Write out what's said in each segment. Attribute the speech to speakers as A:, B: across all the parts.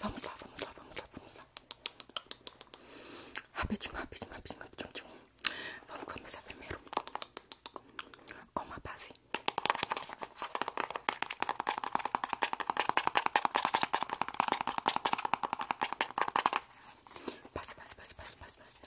A: Vamos lá, vamos lá, vamos lá, vamos lá. Rapidinho, rapidinho, rapidinho, rapidinho. Vamos começar primeiro com uma base. Passa, passa, passa, passa, passa, passa.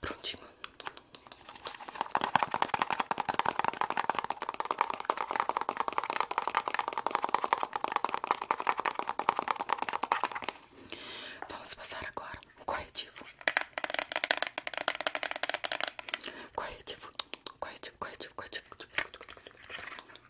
A: Prontinho. Vamos passar agora um corretivo. Corretivo, corretivo, corretivo, corretivo.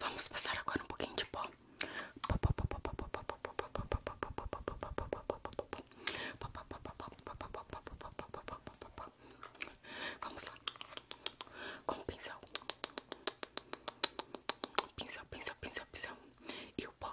A: Vamos passar agora um pouquinho de pó. Vamos lá. Com pincel. Pincel, pincel, pincel, pincel. pó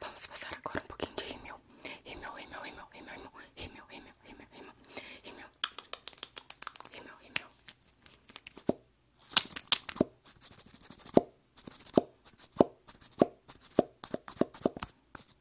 A: Vamos passar agora um pouquinho de rímel. Rímel, rímel, rímel, rímel, rímel, rímel, rímel, rímel, rímel, rímel, rímel.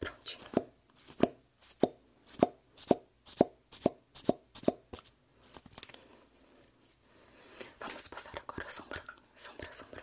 A: Prontinho. Vamos passar agora sombra, sombra, sombra.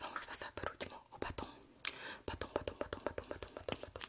A: Vamos pasar por último o batom. Batom, batom, batom, batom, batom, batom, batom.